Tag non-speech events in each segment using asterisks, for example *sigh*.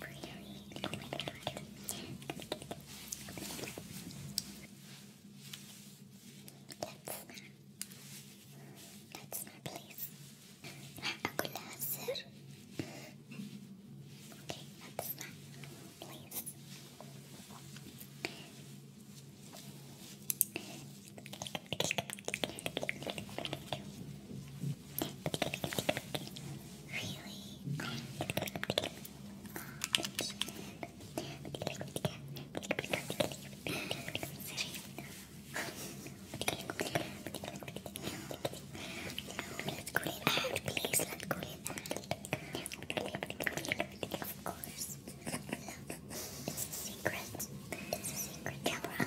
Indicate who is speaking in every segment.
Speaker 1: Really? Oh Let's not. Let's not, please. أقول لها السر. Okay, let's not, please. Please let go of course. Love. It's a secret. It's a secret. Camera.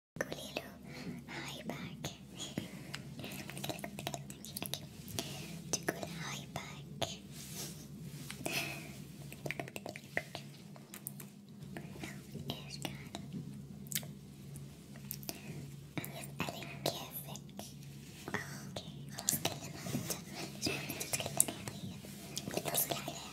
Speaker 1: Gulilu, hi back. Tukul, hi back. No, Erkan. I'm with Ellie Kivik. اوكي خلاص تكلمنا انت شو بدنا تتكلم حاليا؟ بتوصل عليها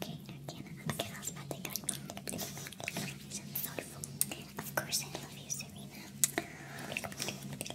Speaker 1: Okay, again, okay, I was about to go. So thoughtful. Of course, I love you, Serena. I understand that.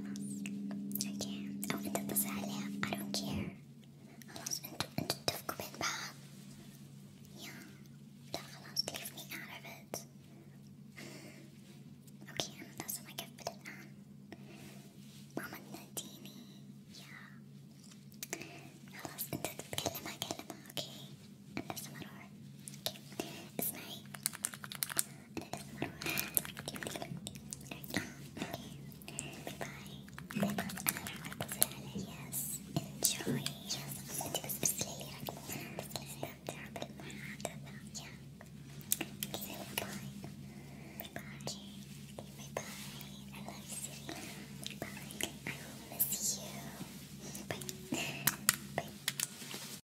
Speaker 1: اوكي او انت تزعلي I don't care خلاص انتو انتو اتفقوا بين بعض يا لا خلاص leave me out of it اوكي انا لازم اقفل الان ماما تناديني يا خلاص انت تتكلم اكلمها اوكي انا لازم اروح اوكي اسمعي يس انجوي يس انت بس ارسلي لي رقمك استمتع بالمحادثة يا باي باي باي باي I love you باي I will miss you باي باي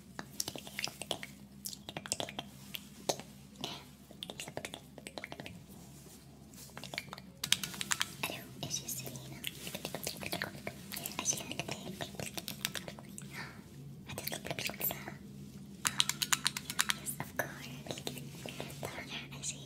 Speaker 1: الو ايش يصير هنا؟ اشياء هتطلب البيتزا يس اوف كورس طبعا عشان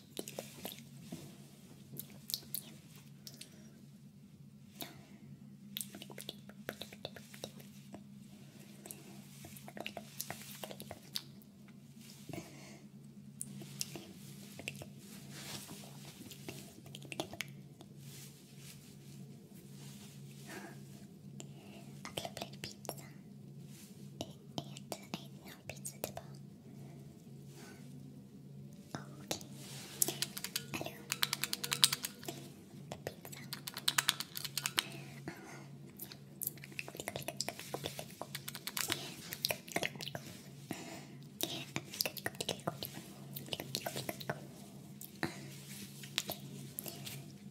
Speaker 1: I love pizza. It, it, I 要彼此对吧？哦，OK。Hello，冰上。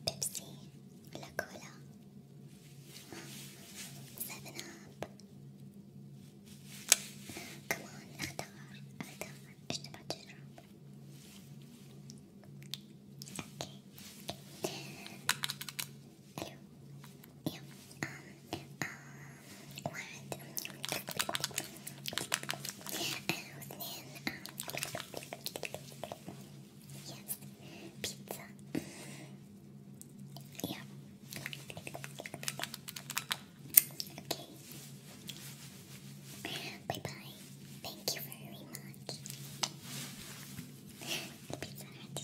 Speaker 1: Pepsi, la cola, Seven up. Come on, اختار اختار ايش تبغى تشرب؟ اوكي حلو يلا واحد واثنين Yes, pizza. yeah. Okay. Bye bye. Thank you very much. pizza had to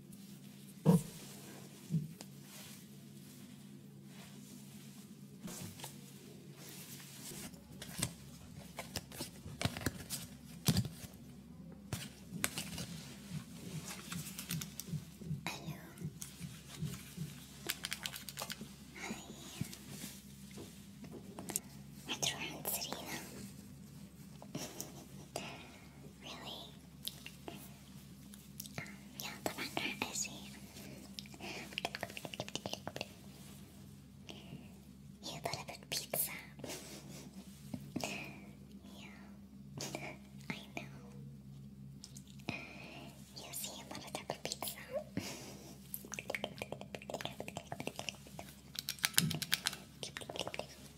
Speaker 1: My true aunt Serena. *laughs* really? yeah, the You delivered pizza. yeah, I know. *laughs* You see a mother pizza. *laughs*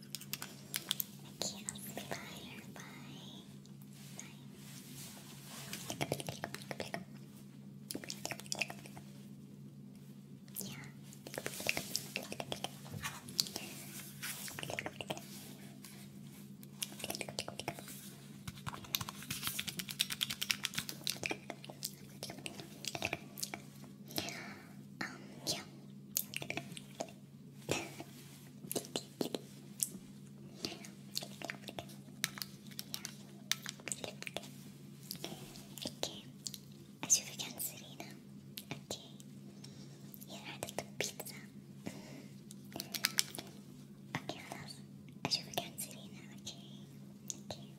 Speaker 1: Okay, i bye. Bye. Bye. Yeah. Um, yeah. اوكي اشوفك عند سيرينا اوكي هي عادة بيتزا اوكي خلاص اشوفك عند سيرينا اوكي اوكي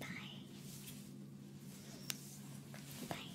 Speaker 1: باي باي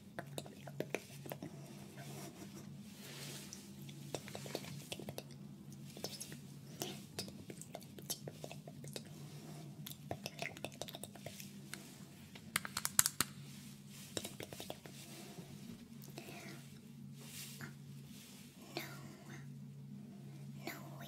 Speaker 1: No way.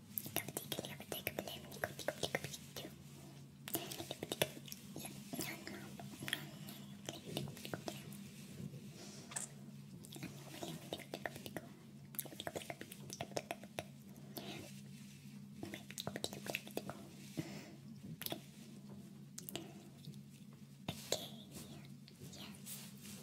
Speaker 1: Okay. Yes.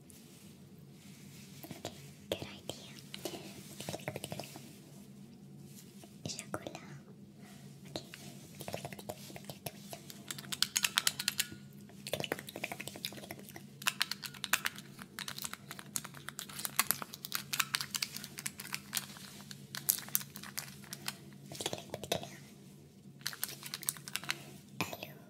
Speaker 1: Okay, good idea. Chocolat. Okay.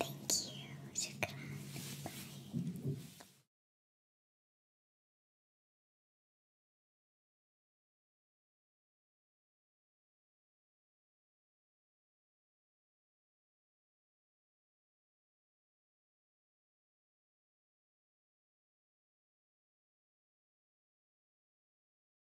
Speaker 1: Thank you, Shukran.